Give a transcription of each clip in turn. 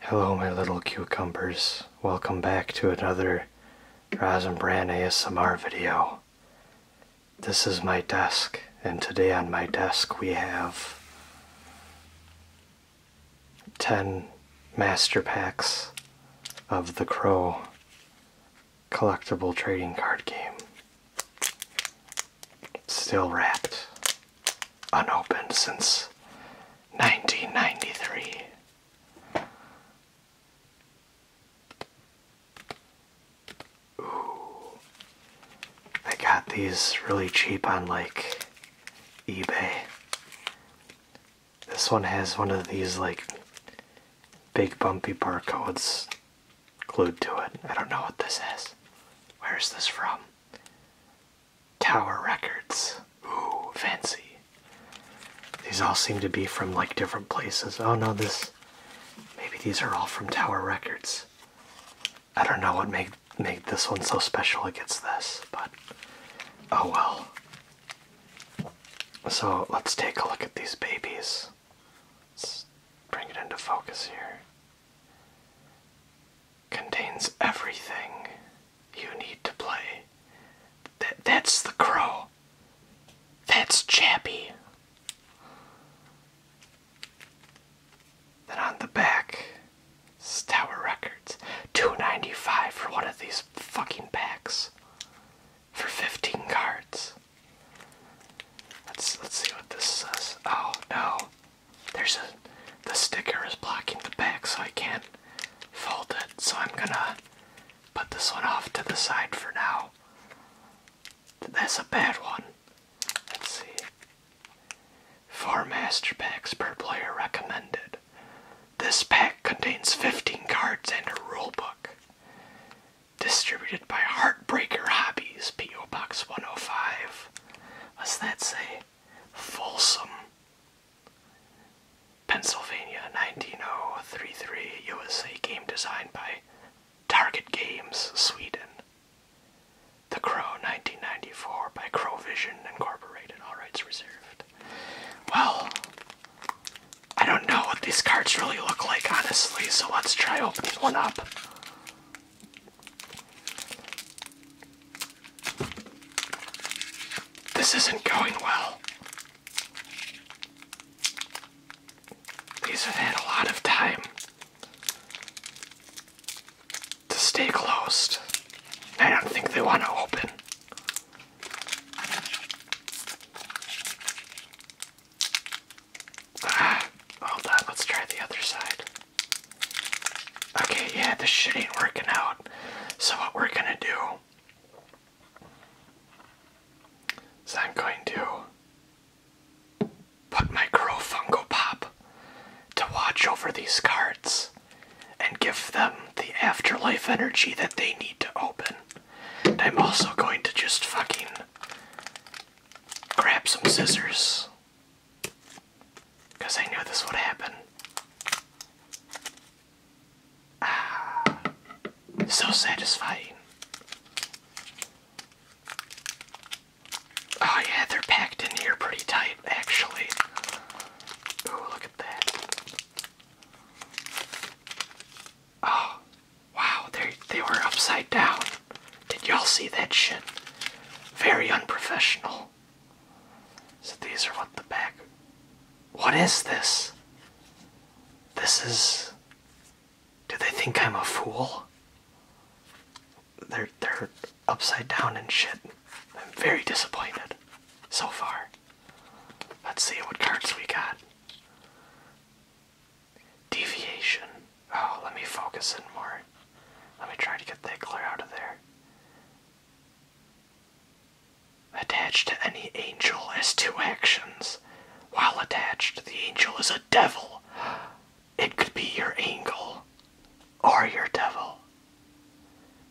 Hello, my little cucumbers. Welcome back to another Rosenbrand ASMR video. This is my desk, and today on my desk we have 10 master packs of the Crow collectible trading card game. Still wrapped unopened since 1993. Ooh. I got these really cheap on like eBay. This one has one of these like big bumpy barcodes glued to it. I don't know what this is. Where's this from? Tower Records. Ooh, fancy. These all seem to be from like different places. Oh no, this. Maybe these are all from Tower Records. I don't know what made made this one so special against this, but oh well. So let's take a look at these babies. Let's bring it into focus here. Contains everything you need to play. Th that's the crow. That's Chappie. Then on the back, it's Tower Records. Two ninety five for one of these fucking packs. For fifteen cards. Let's let's see what this says. Oh no there's a the sticker is blocking the back so I can't fold it so I'm gonna put this one off to the side for now that's a bad one let's see four master packs per player recommended this pack contains 15 cards and a rule book distributed by heartbreaker hobbies po box 105 what's that say Folsom, Pennsylvania 19033 USA game designed by Target Games, Sweden. The Crow 1994 by Crowvision Incorporated, all rights reserved. Well, I don't know what these cards really look like, honestly, so let's try opening one up. This isn't going well. These have had a lot of time to stay closed. I don't think they want to open. Ah, hold on, let's try the other side. Okay, yeah, this shit ain't working out. So what we're gonna do is I'm going to put my Crow Funko Pop to watch over these cards and give them the afterlife energy that they need to open. And I'm also going to just fucking grab some scissors because I knew this would happen. Ah, so satisfying. Oh, yeah, they're packed in here pretty tight, actually. Oh, look at that. Oh, wow, they, they were upside down. Did y'all see that shit? Very unprofessional. So these are what the back. What is this? This is. Do they think I'm a fool? They're they're upside down and shit. I'm very disappointed so far. Let's see what cards we got. Deviation. Oh, let me focus in more. Let me try to get that glare out of there. Attached to any angel has two actions. While attached, the angel is a devil. It could be your angel or your devil.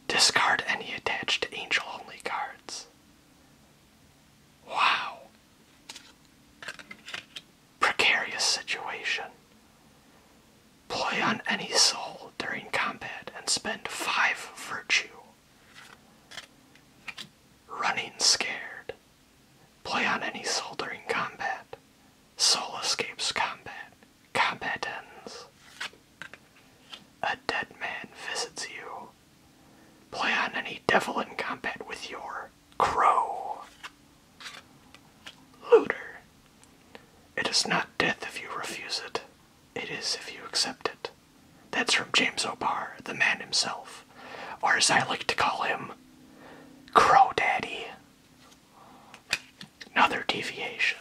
Discard any attached angel only cards. Wow precarious situation. Play on any soul during combat and spend five virtue. Running scared. Play on any soul during combat. Soul escapes combat. Combat ends. A dead man visits you. Play on any devil in combat with your Crow. Looter. It is not death if you refuse it, it is if you accept it. That's from James O'Barr, the man himself, or as I like to call him, Crow Daddy. Another deviation.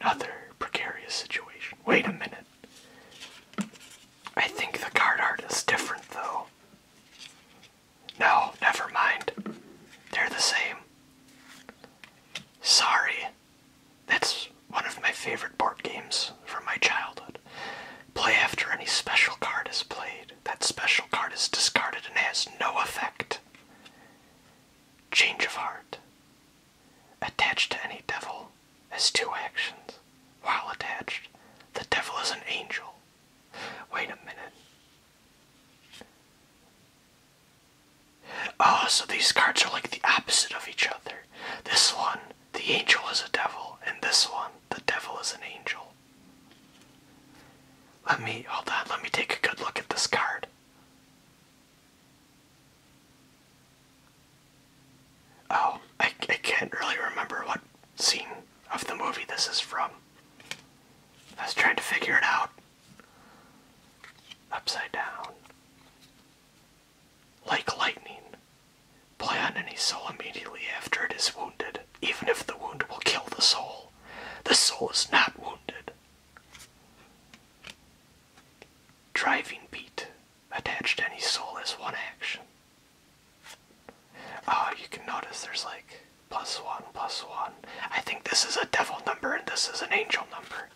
Another precarious situation. Wait a minute. I think the card art is different, though. No, never mind. They're the same. Sorry. That's one of my favorite board games from my childhood. Play after any special card is played. That special card is discarded and has no effect. Change of heart. Attached to any devil has two actions. While attached, the devil is an angel. Wait a minute. Oh, so these cards are like the opposite of each other. This one, the angel is a devil, and this one, the devil is an angel. Let me, hold that. let me take a good look at this card. Oh, I, I can't really remember what scene of the movie this is from. I was trying to figure it out. Upside down. Like lightning. Play on any soul immediately after it is wounded, even if the wound will kill the soul. The soul is not wounded. Driving beat. Attached to any soul as one action. Oh, you can notice there's like plus one, plus one. I think this is a devil number and this is an angel number.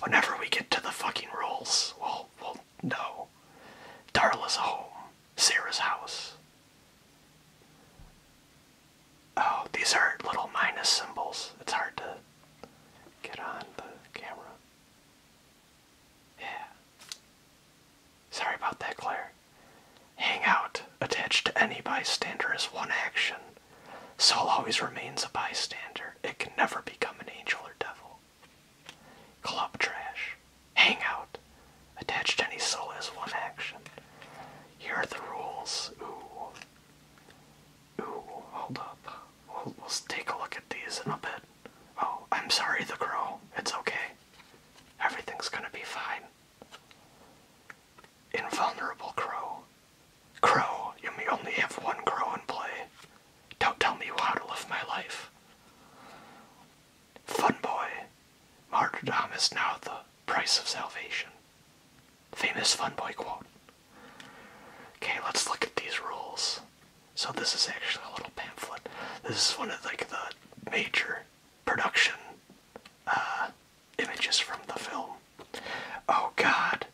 Whenever we get to the fucking rules, we'll, we'll know. Darla's home, Sarah's house. Oh, these are little minus symbols. It's hard to get on the camera. Yeah. Sorry about that, Claire. Hang out attached to any bystander is one action. Soul always remains a bystander. It can never become an angel or devil. Club trash. Hang out. Attached to any soul is one action. Here are the rules. Ooh. Ooh, hold up. We'll, we'll take a look at these in a bit. Oh, I'm sorry, the crow. It's okay. Everything's gonna be fine. Invulnerable Crow. Crow, you may only have one crow in play. Don't tell me how to live my life. Fun Boy. Martyrdom is now the price of salvation. Famous Fun Boy quote. Okay, let's look at these rules. So this is actually a little pamphlet. This is one of like the major production uh, images from the film. Oh god.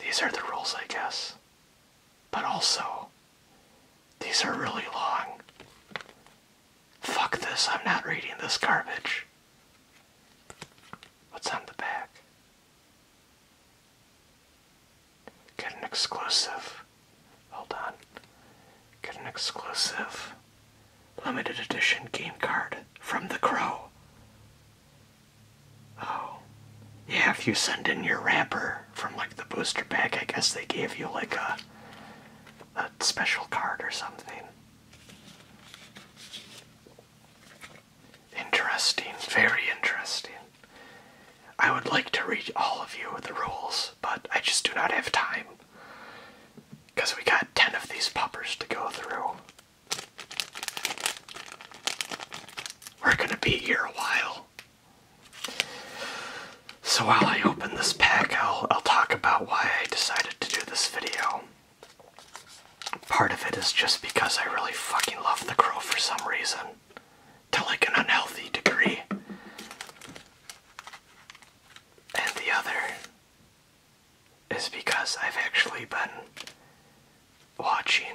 These are the rules, I guess. But also, these are really long. Fuck this, I'm not reading this garbage. What's on the back? Get an exclusive. Hold on. Get an exclusive limited edition game card from The Crow. Oh. Yeah, if you send in your wrapper from like the booster pack, I guess they gave you like a, a special card or something. Interesting, very interesting. I would like to read all of you the rules, but I just do not have time. Because we got 10 of these poppers to go through. We're gonna be here a while. So while I open this pack, I'll, I'll talk about why I decided to do this video. Part of it is just because I really fucking love The Crow for some reason to like an unhealthy degree. And the other is because I've actually been watching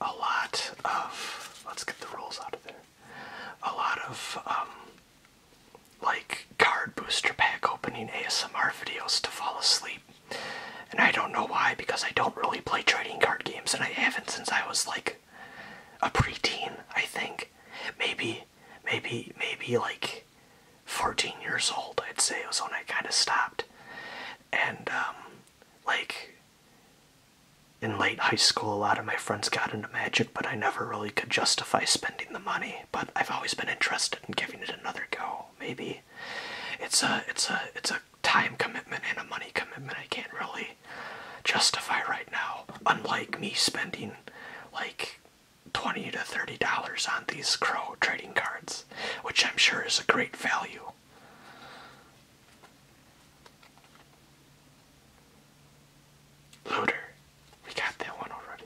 a lot of, let's get the rules out of there, a lot of, um, like card booster pack opening ASMR videos to fall asleep. And I don't know why because I don't really play trading card games and I haven't since I was like a preteen, I think. Maybe, maybe, maybe like 14 years old, I'd say, was when I kind of stopped. And, um, like, in late high school, a lot of my friends got into magic, but I never really could justify spending the money. But I've always been interested in giving it another go. Maybe it's a it's a it's a time commitment and a money commitment. I can't really justify right now. Unlike me spending like 20 to 30 dollars on these crow trading cards, which I'm sure is a great value. Looter, we got that one already.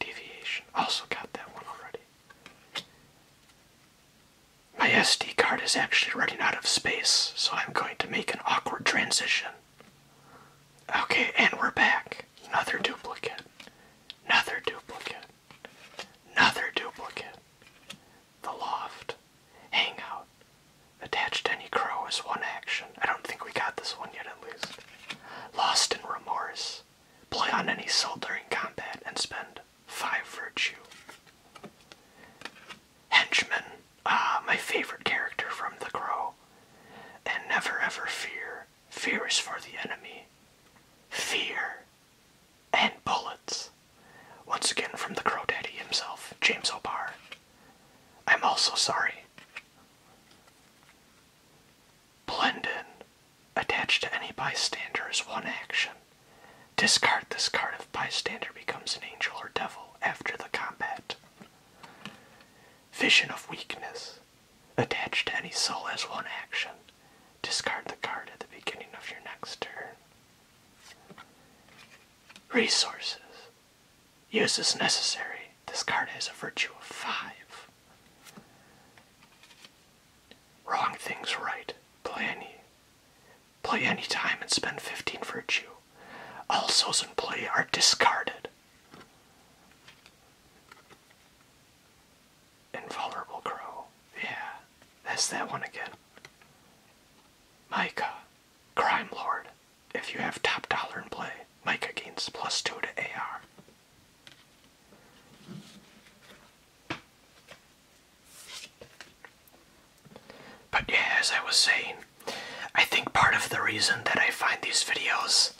Deviation, also got that one already. My SD card is actually running out of space, so I'm going to make an awkward transition. Okay, and we're back. Another duplicate. Another duplicate. Another duplicate. The loft. Hangout. Attached to any crow is one action. I don't think we got this one yet, at least. Lost in remorse. Play on any soul during combat and spend five virtue henchman, ah, my favorite character from The Crow. And never ever fear. Fear is for the enemy. Fear and bullets. Once again from the Crow Daddy himself, James Obar. I'm also sorry. Blendin. Attached to any bystander is one action. Discard this card if bystander becomes an angel or devil after the combat. Vision of Weakness. Attached to any soul as one action. Discard the card at the beginning of your next turn. Resources. Use as necessary. Discard card has a virtue of 5. Wrong things right. Planny. Play anytime and spend 15 virtue. All souls in play are discarded. Invulnerable Crow. Yeah, that's that one again. Micah. Crime Lord. If you have top dollar in play, Micah gains plus 2 to AR. But yeah, as I was saying, I think part of the reason that I find these videos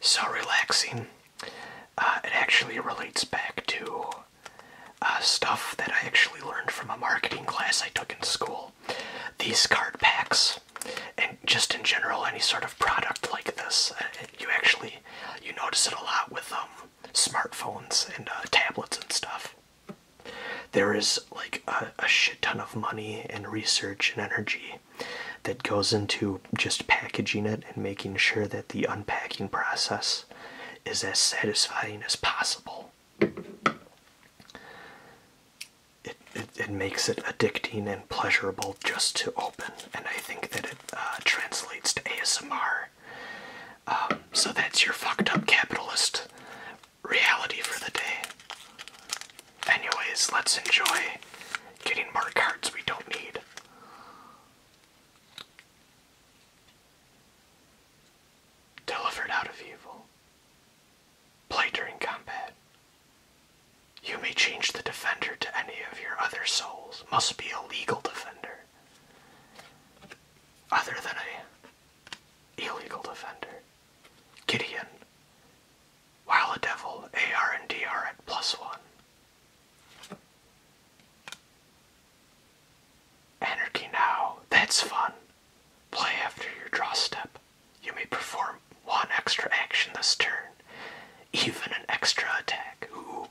so relaxing, uh, it actually relates back to uh, stuff that I actually learned from a marketing class I took in school. These card packs, and just in general, any sort of product like this, uh, you actually you notice it a lot with um, smartphones and tablets and stuff. There is like a, a shit ton of money and research and energy that goes into just packaging it and making sure that the unpacking process is as satisfying as possible. It, it, makes it addicting and pleasurable just to open, and I think that it uh, translates to ASMR um, so that's your fucked up capitalist reality for the day. Anyways, let's enjoy getting more cards we don't need. Delivered out of evil. Play during combat. You may change the defender to any of your other souls. Must be a legal defender. Other than a Illegal Defender, Gideon, while a devil, AR and DR at plus one. Anarchy Now, that's fun. Play after your draw step. You may perform one extra action this turn, even an extra attack. Ooh.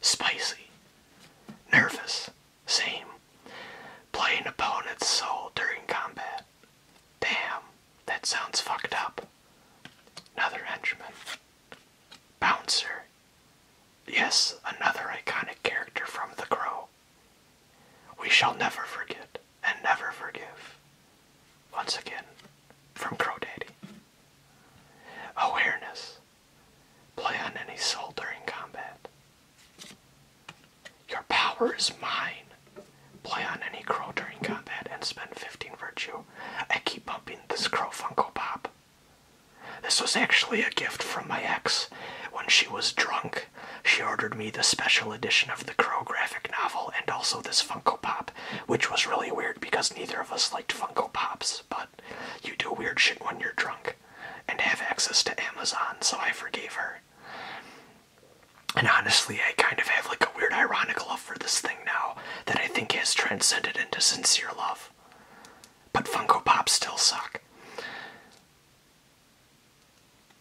Spicy. Nervous. Same. Playing opponent's soul during combat. Damn, that sounds fucked up. Another henchman. Bouncer. Yes, another iconic character from The Crow. We shall never forget and never forgive. Once again, from Crow Daddy. Awareness. Play on any soul during combat. Your power is mine. Play on any crow during combat and spend 15 virtue. I keep bumping this crow Funko Pop. This was actually a gift from my ex. When she was drunk, she ordered me the special edition of the Crow graphic novel and also this Funko Pop, which was really weird because neither of us liked Funko Pops, but you do weird shit when you're drunk and have access to Amazon, so I forgave her. And honestly, I kind of have like a weird ironic love for this thing now that I think has transcended into sincere love. But Funko Pops still suck.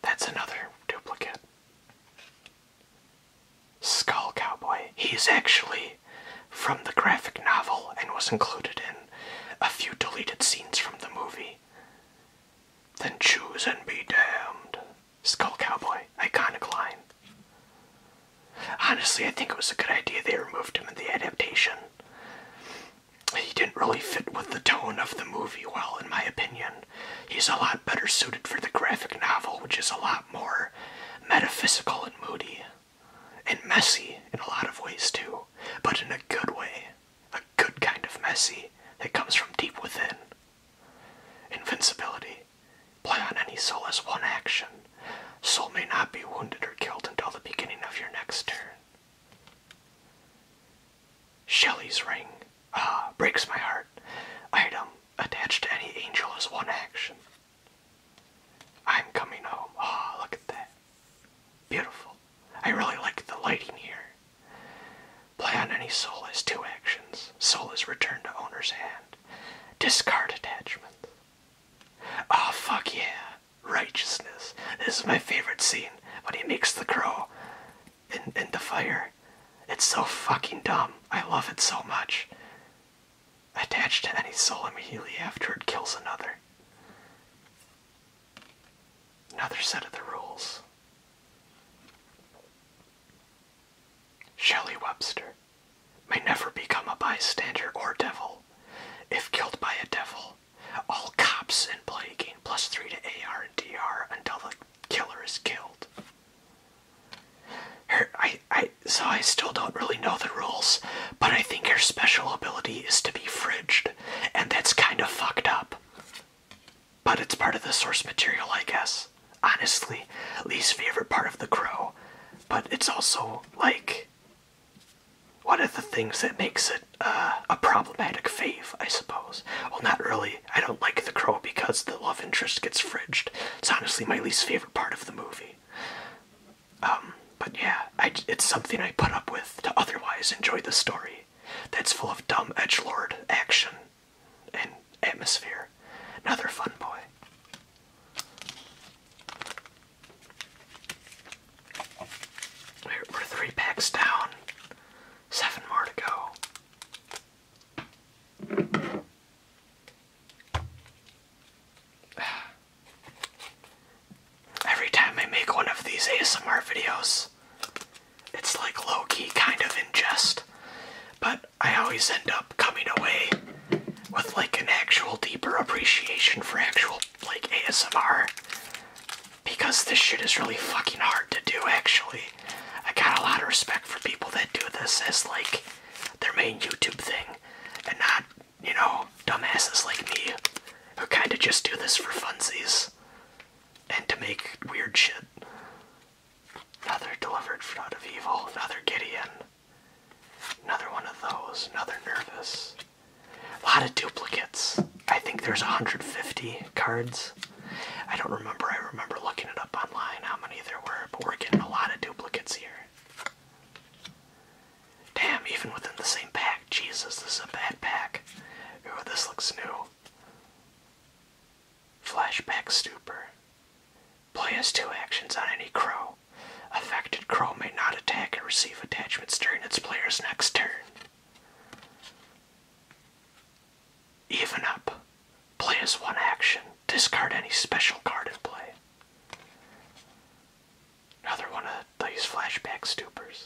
That's another duplicate. Skull Cowboy. He's actually from the graphic novel and was included in a few deleted scenes from the movie. Then choose and be damned. Skull Cowboy, iconic line. Honestly, I think it was a good idea they removed him in the adaptation. He didn't really fit with the tone of the movie well, in my opinion. He's a lot better suited for the graphic novel, which is a lot more metaphysical and moody and messy in a lot of ways too, but in a good way, a good kind of messy that comes from deep within. Invincibility. Play on any soul as one action. Soul may not be wounded or killed until the beginning of your next turn. Shelley's Ring. Ah, breaks my heart. Item. Attached to any angel as one action. I'm coming home. Oh, look at that. Beautiful. I really like the lighting here. Play on any soul has two actions. Soul is returned to owner's hand. Discard attachment. Oh, fuck yeah. Righteousness. This is my favorite scene when he makes the crow in, in the fire. It's so fucking dumb. I love it so much attached to any soul immediately after it kills another. Another set of the rules. Shelley Webster may never become a bystander or devil. If killed by a devil, all cops in play gain plus 3 to AR and DR until the killer is killed. Her, I, I so I still don't really know the rules, but I think her special ability is to be fridged, and that's kind of fucked up. But it's part of the source material, I guess. Honestly, least favorite part of the crow. But it's also like one of the things that makes it uh, a problematic fave, I suppose. Well, not really. I don't like the crow because the love interest gets fridged. It's honestly my least favorite part of the movie. Um, but yeah, it's something I put up with to otherwise enjoy the story that's full of dumb edge lord action and atmosphere. Another fun boy. we're three packs down, seven more to go. Every time I make one of these ASMR videos, it's like low key kind of in jest, but I always end up coming away with like an actual deeper appreciation for actual like ASMR because this shit is really fucking hard to do actually. I got a lot of respect for people that do this as like their main YouTube thing and not you know, dumbasses like me who kind of just do this for funsies and to make weird shit. Another delivered out of evil, another Gideon. Another one of those, another nervous. A lot of duplicates. I think there's 150 cards. I don't remember, I remember looking it up online how many there were, but we're getting a lot of duplicates here. Damn, even within the same pack. Jesus, this is a bad pack. Ooh, this looks new. Flashback Stuper. Play as two actions on any crow. Affected crow may not attack or receive attachments during its player's next turn. Even up. Play as one action. Discard any special card in play. Another one of those flashback stoopers.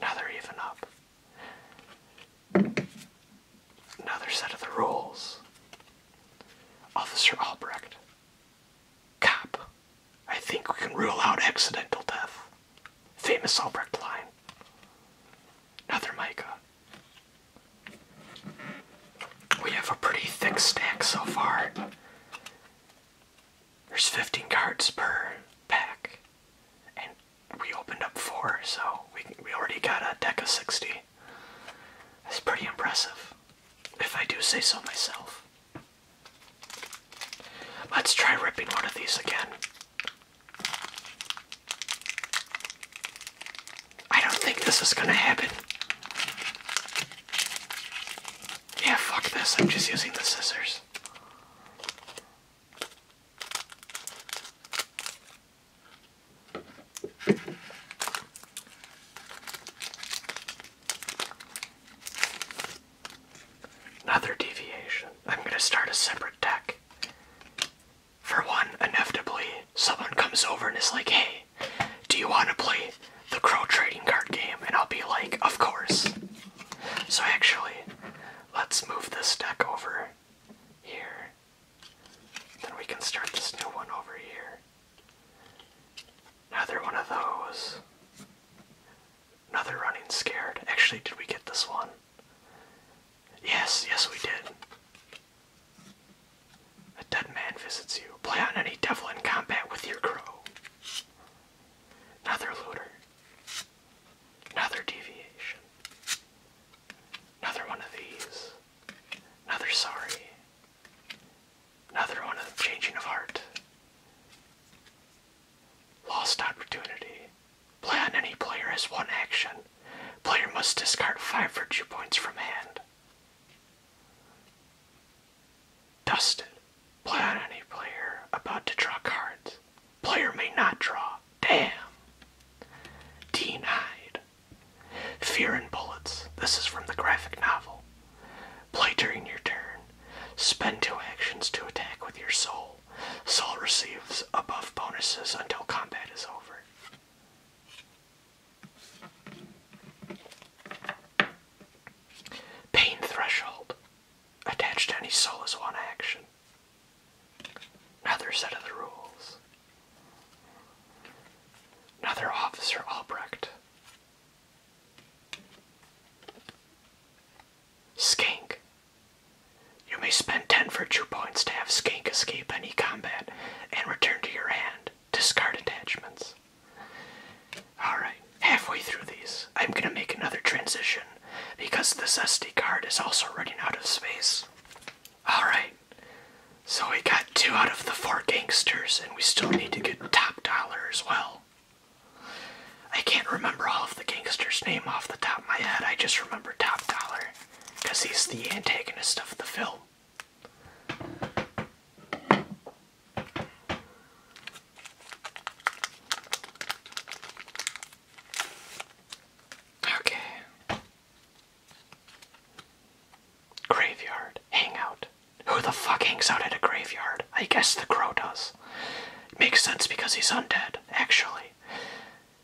Another even up. Another set of the rules. Officer Albrecht. Cop. I think we can rule out accidental death. Famous Albrecht line. Another Micah. We have a pretty thick stack so far. There's 15 cards per pack, and we opened up four, so we we already got a deck of 60. That's pretty impressive, if I do say so myself. Let's try ripping one of these again. I don't think this is gonna happen. Yeah, fuck this. I'm just using the scissors. Another deviation. I'm going to start a separate deck. For one, inevitably, someone comes over and is like, hey, do you want to play the crow trading card game? And I'll be like, of course. So actually, let's move this deck over here. Then we can start this new one over here. Another one of those. Another running scared. Actually, did we get this one? Yes, yes, we did. A dead man visits you. Play on any devil in combat with your crow. Another looter. Another deviation. Another one of these. Another sorry. Another one of changing of heart. Lost opportunity. Play on any player as one action. Player must discard five virtue points from hand. Dustin, play on any player about to draw cards. Player may not draw. Damn. Denied. Fear and Bullets. This is from the graphic novel. Play during your turn. Spend two actions to attack with your soul. Soul receives above bonuses until combat is over. Pain threshold. Attached to any soul is one action. Another set of the rules. Another Officer Albrecht. Skink. You may spend 10 virtue points to have Skink escape any combat and return to your hand discard attachments. Alright, halfway through these, I'm going to make another transition because this SD card is also running out of space. Alright, so we got two out of the four gangsters, and we still need to get Top Dollar as well. I can't remember all of the gangsters' name off the top of my head, I just remember Top Dollar because he's the antagonist of the film. Okay. Graveyard. Hangout. Who the fuck hangs out at a graveyard? I guess the crow does. makes sense because he's undead, actually.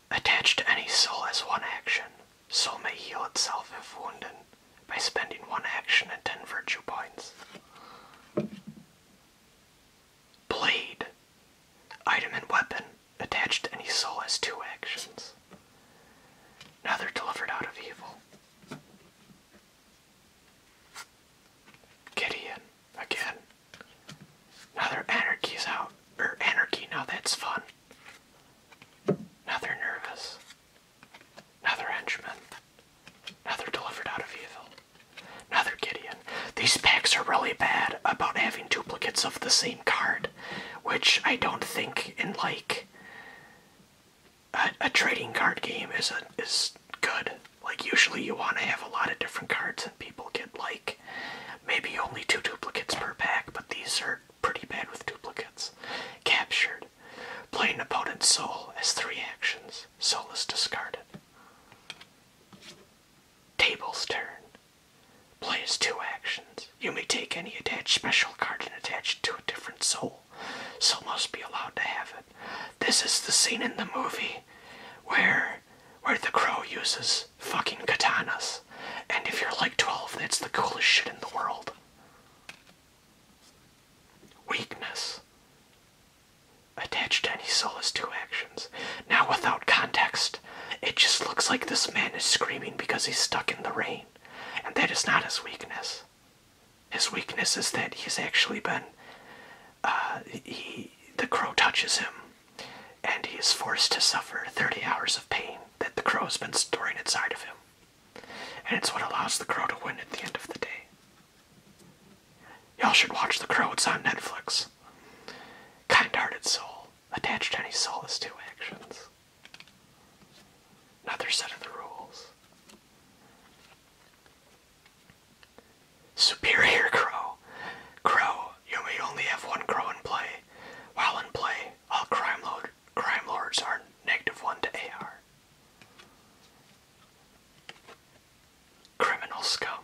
Attached to any soul as one action. Soul may heal itself if wounded by spending one action and ten virtue points. Blade. Item and weapon attached to any soul has two actions. Now they're delivered out of evil. Gideon, again. Now anarchy's out. Er, anarchy, now that's fun. Now nervous another henchman, another delivered out of evil, another Gideon. These packs are really bad about having duplicates of the same card, which I don't think in like a, trading card game is is good. Like usually you want to have a lot of different cards and people get like maybe only two duplicates per pack, but these are pretty bad with duplicates. Captured. Play an opponent's soul as three actions. Soul is discarded. Table's turn. Play as two actions. You may take any attached special card and attach it to a different soul. Soul must be allowed to have it. This is the scene in the movie where where the crow uses fucking katanas. And if you're like 12, it's the coolest shit in the world. Weakness. Attached to any solace to actions. Now, without context, it just looks like this man is screaming because he's stuck in the rain, and that is not his weakness. His weakness is that he's actually been. Uh, he, the crow touches him, and he is forced to suffer 30 hours of pain that the crow has been storing inside of him. And it's what allows the crow to win at the end of the day. Y'all should watch The Crow, it's on Netflix. Kind hearted soul, attached to any solace to actions. Another set of the rules. Superior Crow. Crow, you may only have one crow in play. While in play, a crime lord crime lords are negative one to AR. Criminal scum.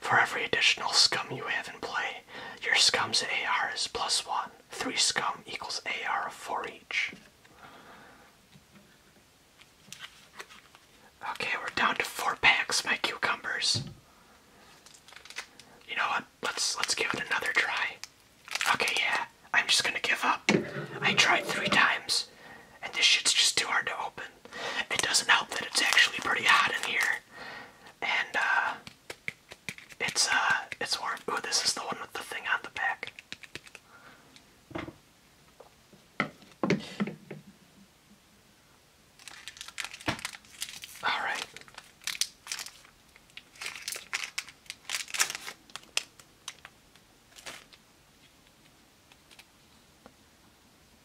For every additional scum you have in play, your scum's AR is plus one. Three scum equals AR of four each. Okay, we're down to four packs, my cucumbers. You know what? let's let's give it another try. Okay, yeah, I'm just gonna give up. I tried three times, and this shit's just too hard to open. It doesn't help that it's actually pretty hot in here, and uh, it's uh, it's warm. Ooh, this is the one with the thing on the back. All right.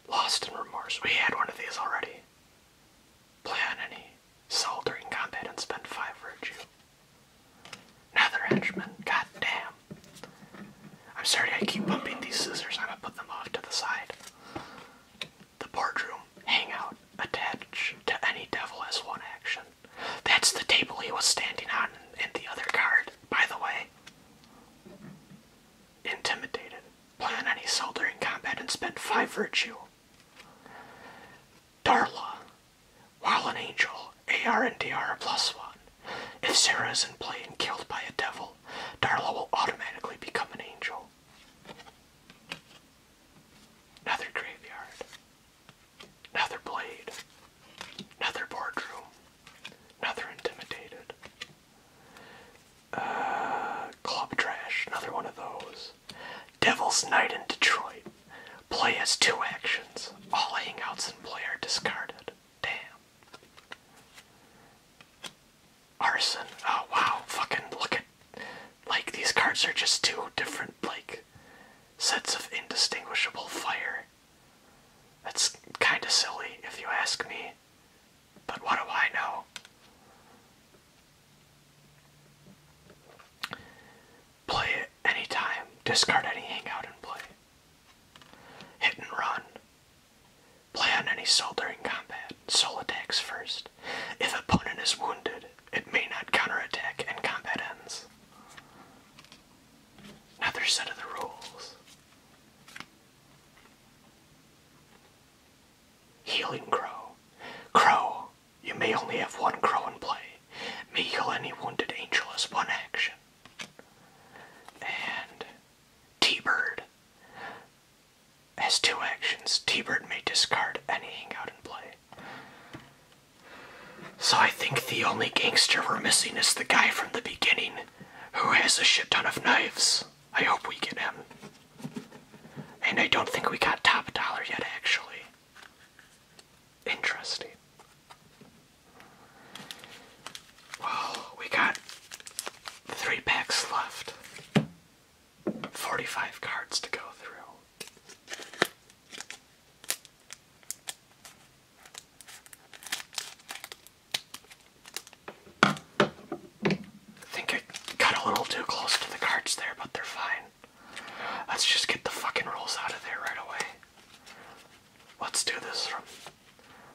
Lost in Remorse. We had one of these already. Plan any soul during combat and spend five virtue. Another henchman. God damn. I'm sorry I keep bumping these scissors. I'm gonna put them off to the side the boardroom hang out, attached to any devil as one action. That's the table he was standing on and the other card, by the way. Intimidated. Plan any soul during combat and spend five virtue. Darla. While an angel, AR and D R plus are plus one. If Sarah is in play and killed by a devil, Darla will automatically become an angel. Another graveyard. Another blade. Another boardroom. Another intimidated. Uh, club trash. Another one of those. Devil's Night in Detroit. Play has two actions. All hangouts and play discarded. Damn. Arson. Oh wow. Fucking look at like these cards are just two different like sets of indistinguishable fire. That's kind of silly if you ask me. But what do I know? Play it anytime. Discard any hangout and play. Hit and run. Play on any soul combat. Soul attacks first. If opponent is wounded, it may not counterattack and combat ends. Another set of the rules. Healing Crow. Crow, you may only have one crow in play. May heal any wounded angel one action. And T-Bird. As two actions, T Bird may discard any hangout in play. So I think the only gangster we're missing is the guy from the beginning who has a shit ton of knives. I hope we get him. And I don't think we got top dollar yet, actually. Interesting. Well, we got three packs left. 45 cards to go through. I think I got a little too close to the cards there, but they're fine. Let's just get the fucking rolls out of there right away. Let's do this from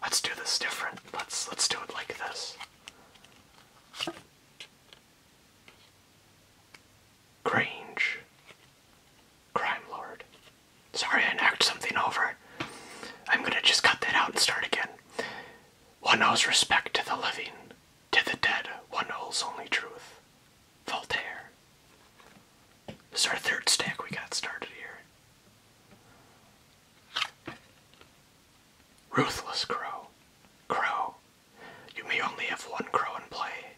let's do this different. Let's let's do it like this. Grange. Crime Lord. Sorry, I knocked something over. I'm gonna just cut that out and start again. One owes respect to the living, to the dead, one holds only truth. Voltaire. This is our third stack we got started here. Ruthless Crow. Crow, you may only have one crow in play.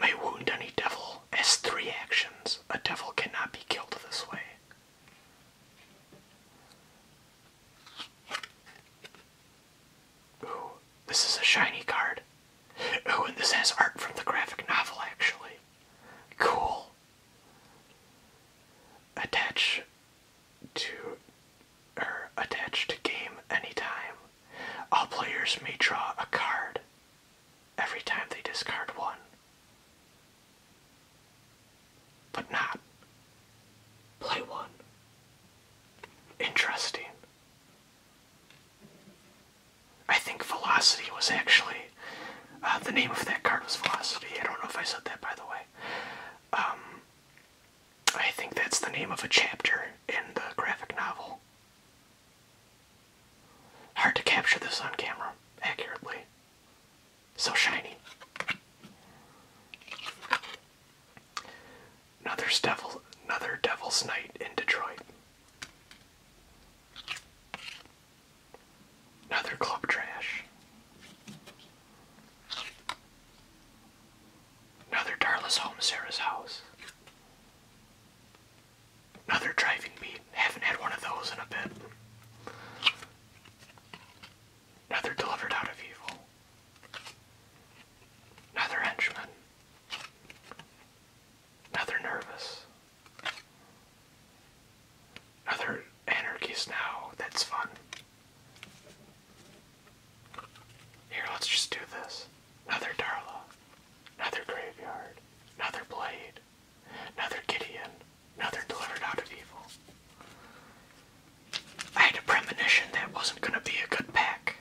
May wound any devil as three actions. A devil cannot be killed this way. Ooh, this is a shiny card. Oh, and this has art from the graphic novel, actually. Cool. Attach to or er, attached to game anytime. All players may draw a card every time they discard one. But not play one. Interesting. I think Velocity was actually uh, the name of that card was Velocity. I don't know if I said that by the way. Um, I think that's the name of a chapter in the graphic novel. Hard to capture this on camera accurately. So shiny. Another devil, another Devil's Night in Detroit. Another club trash. Another Darla's home, Sarah's house. Another driving beat. Haven't had one of those in a bit. Another delivered out of evil. Another henchman. Another nervous. Another anarchist now. That's fun. Here, let's just do this. Another Darla. Another Graveyard. Another Blade. Another Gideon. Another Delivered Out of Evil. I had a premonition that wasn't going to be a good pack.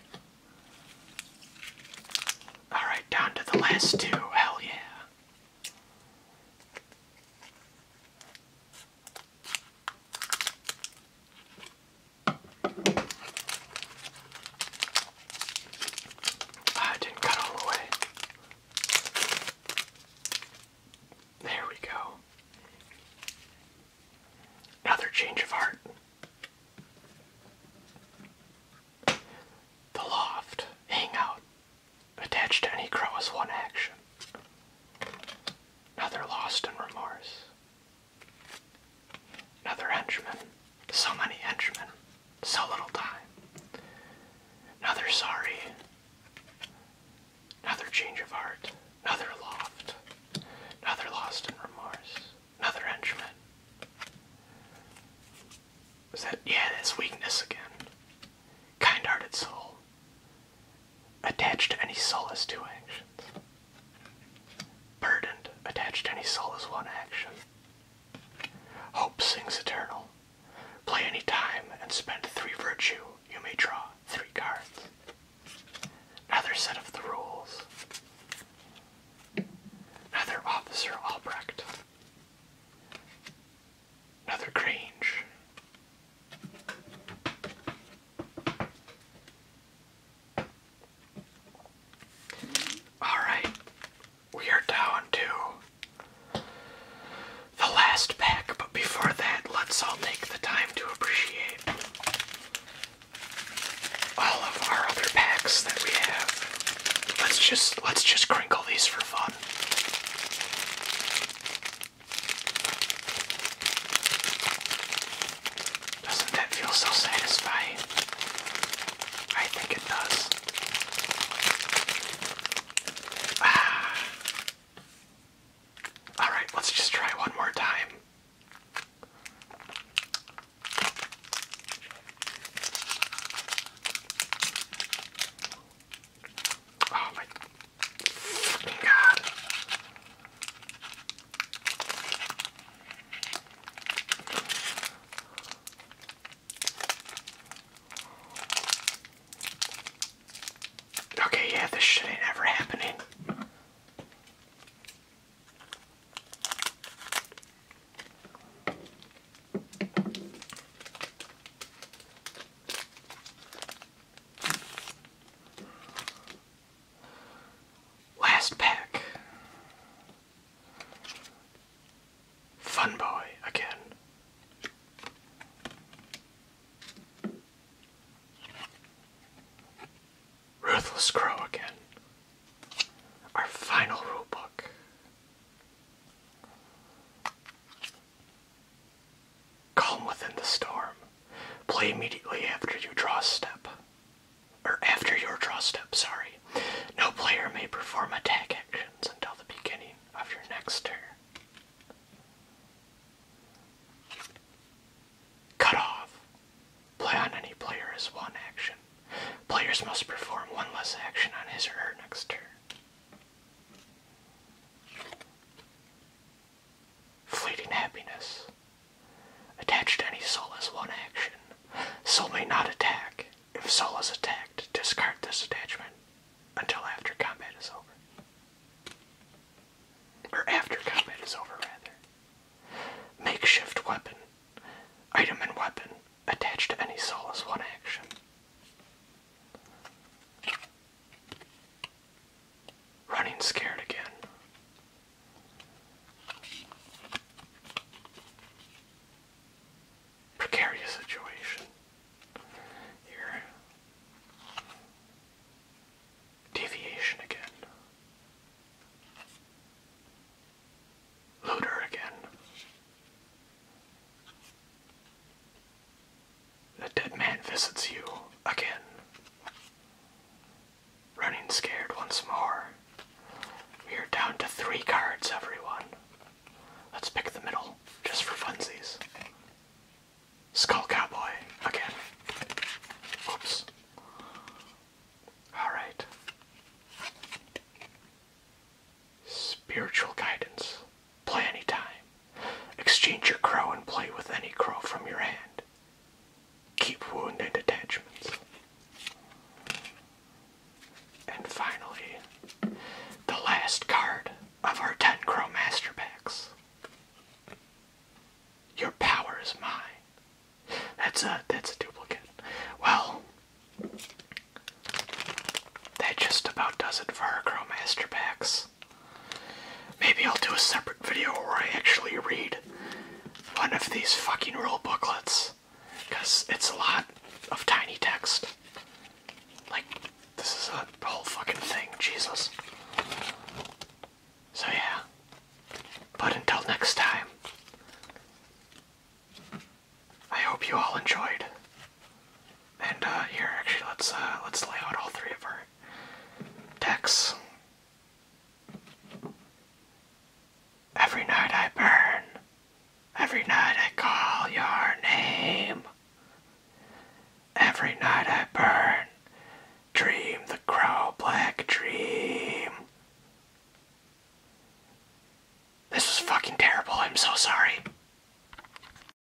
Alright, down to the last two. Hell yeah. Ah, I didn't cut all the way. There we go. Another change of heart. The loft hangout attached to any crow is one action. Another lost in remorse. Another henchman. So many henchmen. So little time. Another sorry. Another change of heart. Another loft. Another lost in remorse. Another henchman. Is that yeah, that's weakness again. Kind hearted soul attached to any solace to actions. Burdened, attached any solace one action. Hope sings eternal. Play any time and spend three virtue. You may draw three cards. Another set of the rules. Another Officer Albrecht. Another Grange. All right, we are down to the last pack, but before that, let's all take the time to appreciate all of our other packs that we have. Let's just let's just crinkle these for fun. Doesn't that feel so satisfying? I think it does. Ah. Alright, let's just try one more time. Oh my fucking god. Okay, yeah, this shit ain't ever happening. Last pack. Fun boy again. Ruthless Crow again. Our final rulebook. Calm within the storm. Play immediately after you draw a step. Or after your draw step, sorry. No player may perform attack actions until the beginning of your next turn. Cut off. Play on any player as one action. Players must perform one less action on his or her next turn fleeting happiness. Attached to any solace one action. Soul may not attack. If soul is attacked, discard this attachment until after combat is over. Or after combat is over, rather. Makeshift weapon. Item and weapon attached to any soul is one action. Running scared again. Precarious situation Deviation again. Looter again. A dead man visits you again. Running scared once more. We are down to three cards, everyone. Let's pick the middle, just for funsies. Skull Cowboy, again. Oops. Alright. Spiritual guidance. Play any time. Exchange your crow and play with any crow from your hand. Keep wound and attachments. And finally, the last card of our 10 Crow Master Packs. Your power is mine. That's a that's a duplicate. Well, that just about does it for our Crow Master Packs. Maybe I'll do a separate video where I actually read one of these fucking rule booklets. Because it's a lot of tiny text. Like, this is a whole fucking thing, Jesus. So, yeah. But until next time, I hope you all enjoyed and uh, here, actually, let's uh, let's lay out all three of our decks. Every night I burn. Every night I call your name. Every night I burn. Dream the crow black dream. This is fucking terrible. I'm so sorry.